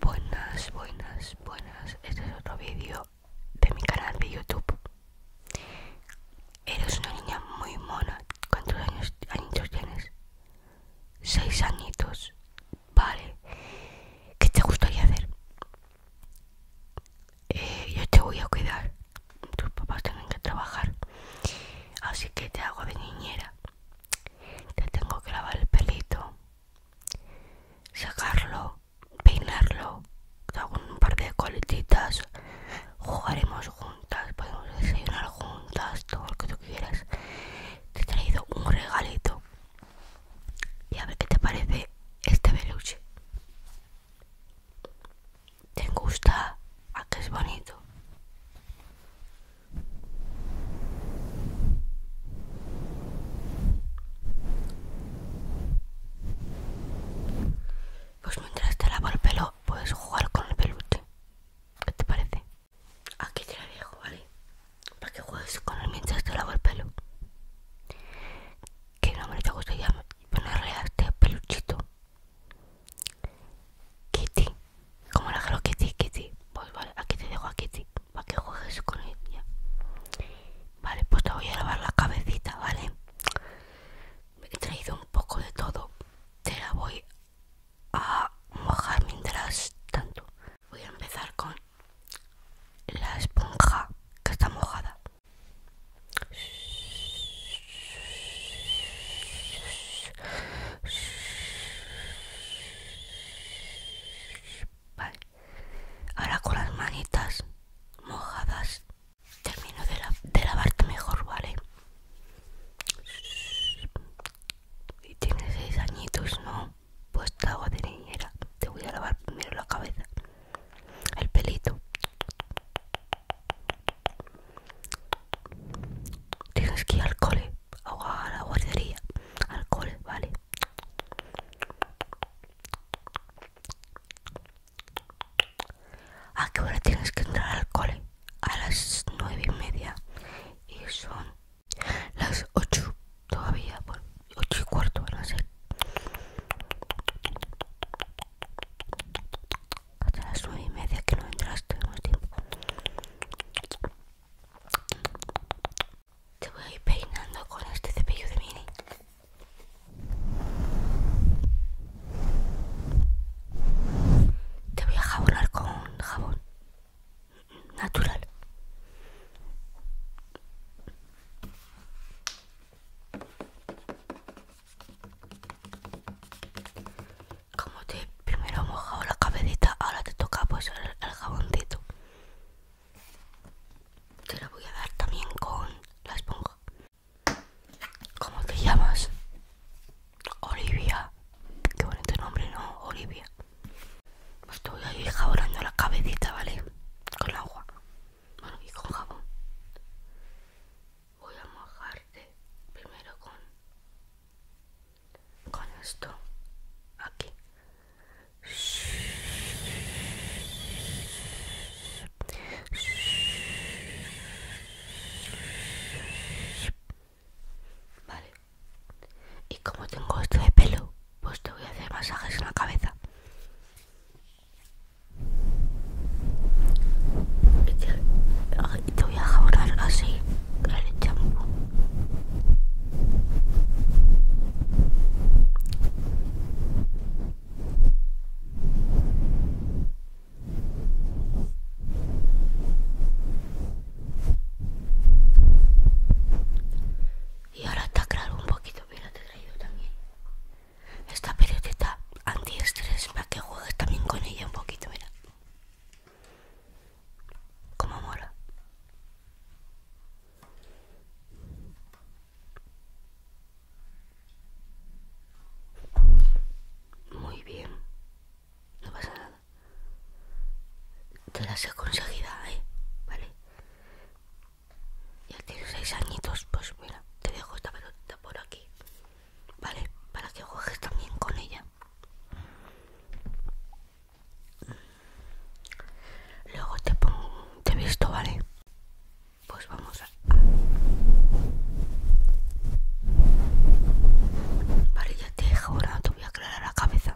Buenas, buenas, buenas. Este es otro vídeo de mi canal de YouTube. Eres una niña muy mona. ¿Cuántos años, añitos tienes? Seis añitos. Vale. ¿Qué te gustaría hacer? Eh, yo te voy a cuidar. Tus papás tienen que trabajar. Así que te hago de niñera te tengo que lavar el pelito, sacarlo, peinarlo, un par de coletitas, jugaremos juntas, podemos desayunar juntas, todo lo que tú quieras. Te he traído un regalito y a ver qué te parece este peluche. ¿Te gusta? ¿A que es bonito? Pues mientras te lavo el pelo, puedes jugar con el peluche. ¿Qué te parece? Aquí te la dejo, ¿vale? Para que juegues con él mientras te lavo el pelo. ¿Qué nombre te gustaría ponerle a este peluchito Kitty, como la creo Kitty, Kitty. Pues vale, aquí te dejo a Kitty para que juegues con ella. Vale, pues te voy a lavar la cabecita, ¿vale? Me he traído un poco de todo. Te la voy a mojar mientras tanto. Voy a empezar con la esponja que está mojada. Ahora con las manitas mojadas termino de, lavarte mejor, ¿vale? Y tienes seis añitos, ¿no? Pues te hago de niñera. Te voy a lavar primero la cabeza. El pelito. Tienes que ir al cole, a la guardería, al cole, vale. ¿A qué hora tienes que entrar al cole? A las nueve y media. Y son las ocho todavía, Por ocho y cuarto van hasta las nueve y media que no entraste tenemos tiempo. Te voy a ir peinando con este cepillo de mini. Te voy a jabonar con jabón natural. Como te primero mojado la cabecita, ahora te toca pues el, jaboncito. Te lo voy a dar también con la esponja. ¿Cómo te llamas? Olivia. Qué bonito nombre, ¿no? Olivia. Estoy pues ahí jabonando la cabecita, ¿vale? Con agua. Bueno, y con jabón voy a mojarte primero con con esto aquí Vale. Y como tengo esto de pelo, pues te voy a hacer masajes en la cabeza te, te voy a jabonar así el champú y ahora está claro un poquito, mira te he traído también esta pelotita antiestrés para que juegues también con ella un poquito, mira como mola. Muy bien. No pasa nada. Te las he conseguido, ¿eh? Vale. Ya tienes seis añitos, pues mira, te dejo esta pelota por aquí. ¿vale? Para que juegues también con ella. Luego te pongo, te visto, ¿vale? Pues vamos a... Vale, ya te he ahora, te voy a aclarar la cabeza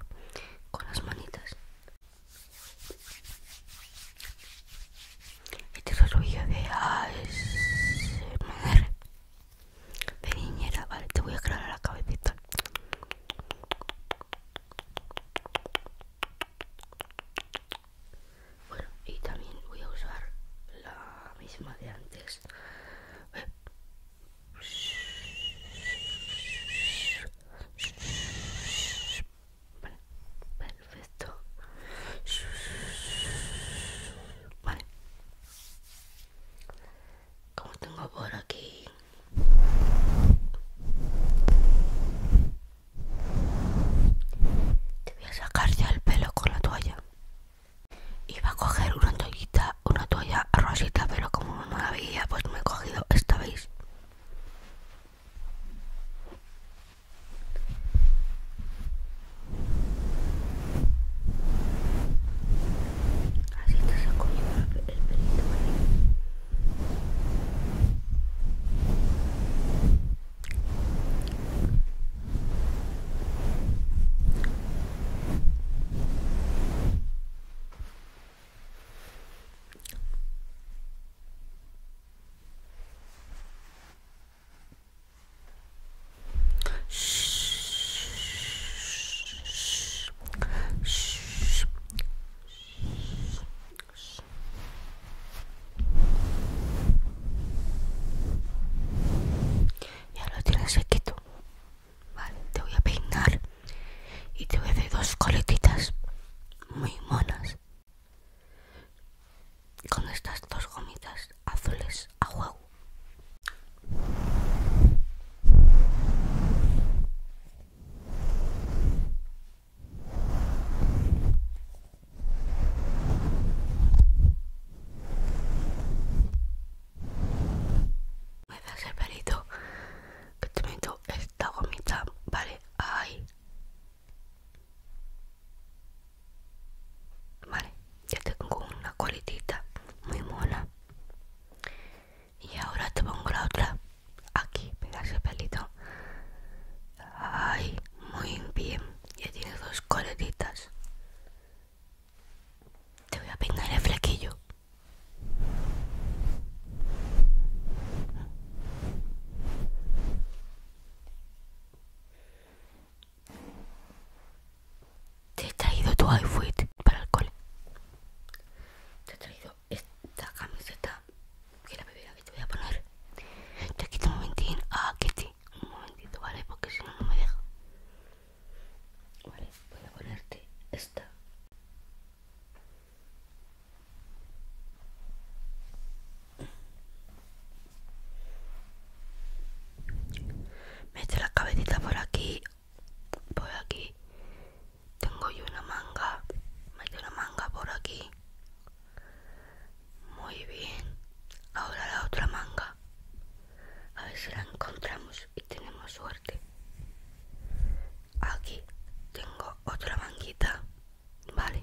con las manitas. Y te otro de ASMR de vale, te voy a aclarar la cabecita. Bueno, y también voy a usar la misma de antes. perfecto. Vale. Como tengo por aquí. Te voy a sacar ya el pelo con la toalla. iba a coger una toallita, una toalla rosita, pero como no la veía, pues me he cogido esta, ¿veis? Así te saco yo el pelito, Y ahora lo tienes sequito. Vale, te voy a peinar y te voy a hacer dos coletitas muy monas con estas dos gomitas azules a huevo. Me das el pelito que te meto esta gomita, vale, ahí, Vale, ya tengo una coletita muy mola Y ahora te pongo la otra. Aquí, pegas ese pelito. Ay, muy bien. Ya tiene dos coletitas. Te voy a peinar el flequillo. Te he traído tu outfit para el cole. Te he traído esta camiseta que es la primera que te voy a poner. Te quito un momentín ah, que Kitty. Un momentito, ¿vale? Porque si no, no me deja. Vale, voy a ponerte esta. Mete la cabecita por aquí, por aquí. Tengo yo una manga. Mete una manga por aquí. Muy bien. Ahora la otra manga. A ver si la encontramos y tenemos suerte. Aquí tengo otra manguita. Vale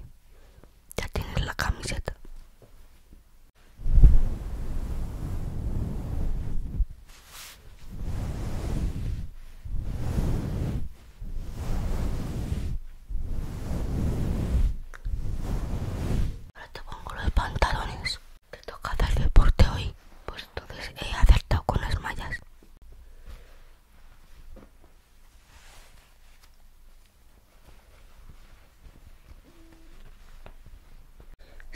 ya tienes la camiseta. Ahora te pongo los pantalones. Te toca hacer deporte hoy, pues entonces he acertado con las mallas.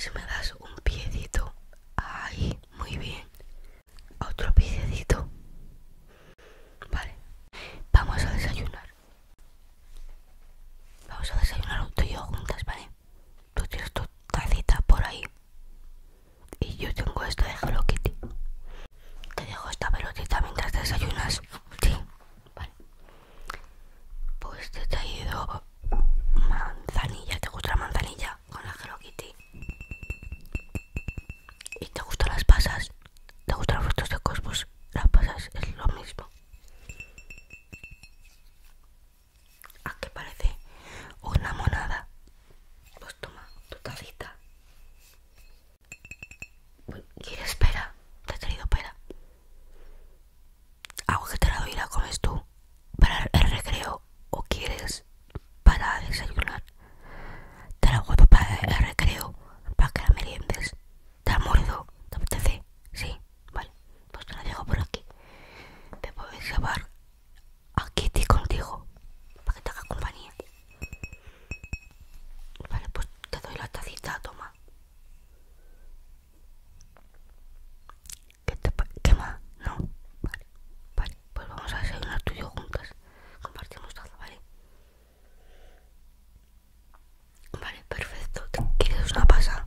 Si me das un piedito, ahí, muy bien. Otro piecito Vale, vamos a desayunar. Vamos a desayunar tú y yo juntas, ¿vale? Tú tienes tu tacita por ahí. Y yo tengo esto de Hello Kitty. Te dejo esta pelotita mientras desayunas. Sí, Vale. Pues te he traído manzanilla. ¿Te gusta la manzanilla? Con la Hello ¿Y te gustan las pasas? ¿Te gustan los frutos de cosmos? las pasas es lo mismo. ¿A qué parece? Una monada. Pues toma tu tacita. ¿Quieres pera? Te he querido pera. ¿Algo que te la doy la comes tú para el recreo o quieres para desayunar. Te la hago para el recreo, para que la meriendes. Te la muerto? ¿te apetece? Sí, vale. Pues te la llevo por aquí. Te puedes llevar a Kitty contigo para que te haga compañía. Vale, pues te doy la tacita, toma. ¿Qué, te más? No. Vale, vale. Pues vamos a desayunar tú y yo juntas. Compartimos taza, ¿vale? Vale, perfecto. quieres una pasa?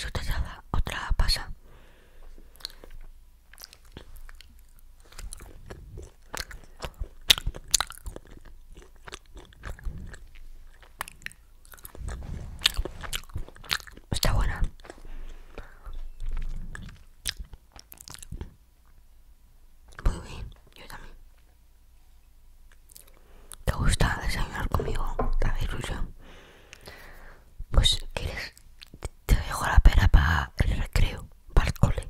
Y te da otra pasa. Está buena. Muy bien, yo también. ¿Te gusta desayunar conmigo? ¿Sabes, ilusión? Pues, ¿quieres? Te dejo la pera para el recreo, para el cole.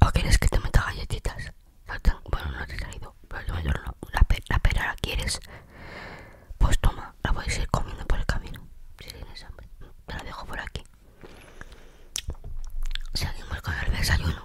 ¿O quieres que te meta galletitas? bueno, no te he traído, pero te meto la, la pera, ¿la quieres? Pues toma, la a ir comiendo por el camino, si tienes hambre. Te la dejo por aquí. Seguimos con el desayuno.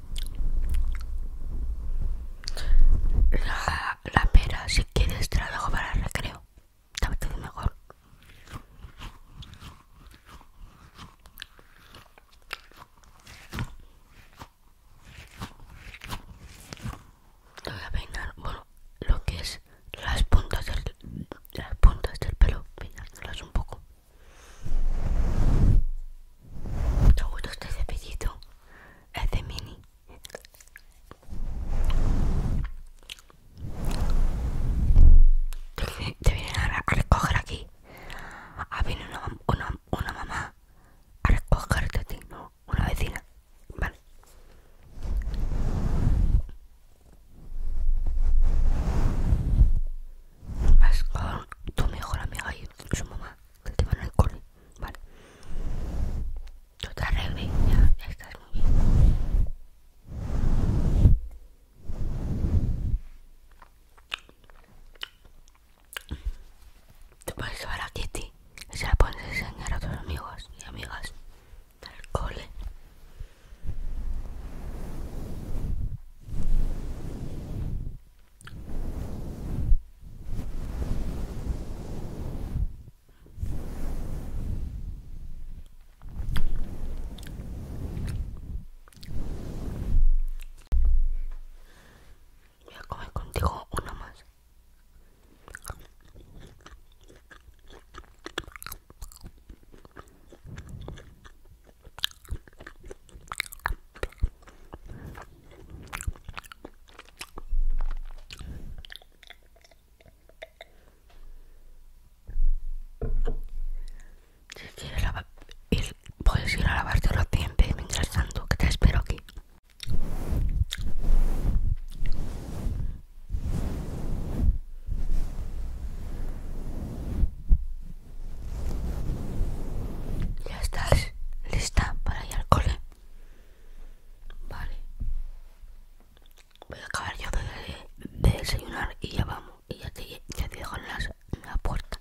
La, pera, si quieres, te para el recreo. Te mejor. Te voy a peinar, bueno, lo que es las puntas del, las puntas del pelo, peinándolas un poco. Mucho gusto este cepillito? Es de mini. Te vienen a recoger aquí. Ha ah, viene una, una, mamá a recoger te ti, Una vecina. Vale vas con tu mejor amiga y su mamá, que te van al cole, ¿vale? Tú te arregles, ya, ya estás muy bien. Te puedes llevar a Kitty y se la puedes enseñar a tus amigos y amigas del cole. Voy a comer contigo uno más. Si quieres lavar, puedes ir a lavarte los dientes mientras tanto, que te espero aquí. ¿Ya estás lista para ir al cole? Vale. Voy a acabar yo de, desayunar y ya vamos. Y ya te, dejo en, en la puerta.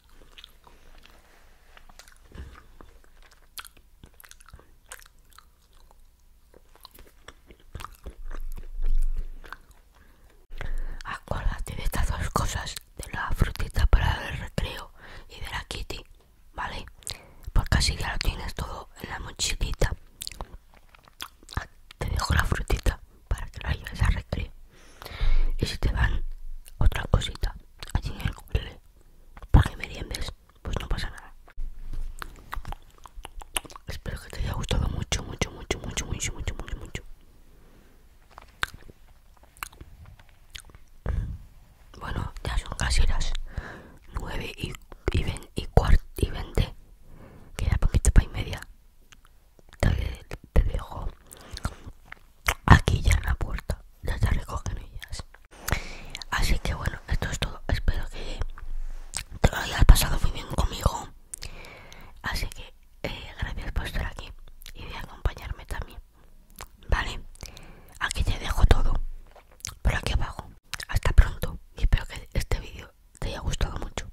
Acuérdate de estas dos cosas, de la frutita para el recreo y de la kitty, ¿vale? Porque así ya lo tienes todo en la mochilita. Te dejo la frutita para que la lleves al recreo. Y si te van otra cosita, allí en el google para me meriendes, pues no pasa nada. Espero que te haya gustado mucho, mucho, mucho, mucho, mucho, mucho, mucho, mucho. Bueno, ya son casi las 9 y, y, y 20. Queda poquito para y media. te dejo aquí ya en la puerta ya se recogen ellas así que bueno esto es todo espero que te lo hayas pasado muy bien conmigo así que eh, gracias por estar aquí y de acompañarme también vale aquí te dejo todo por aquí abajo hasta pronto y espero que este vídeo te haya gustado mucho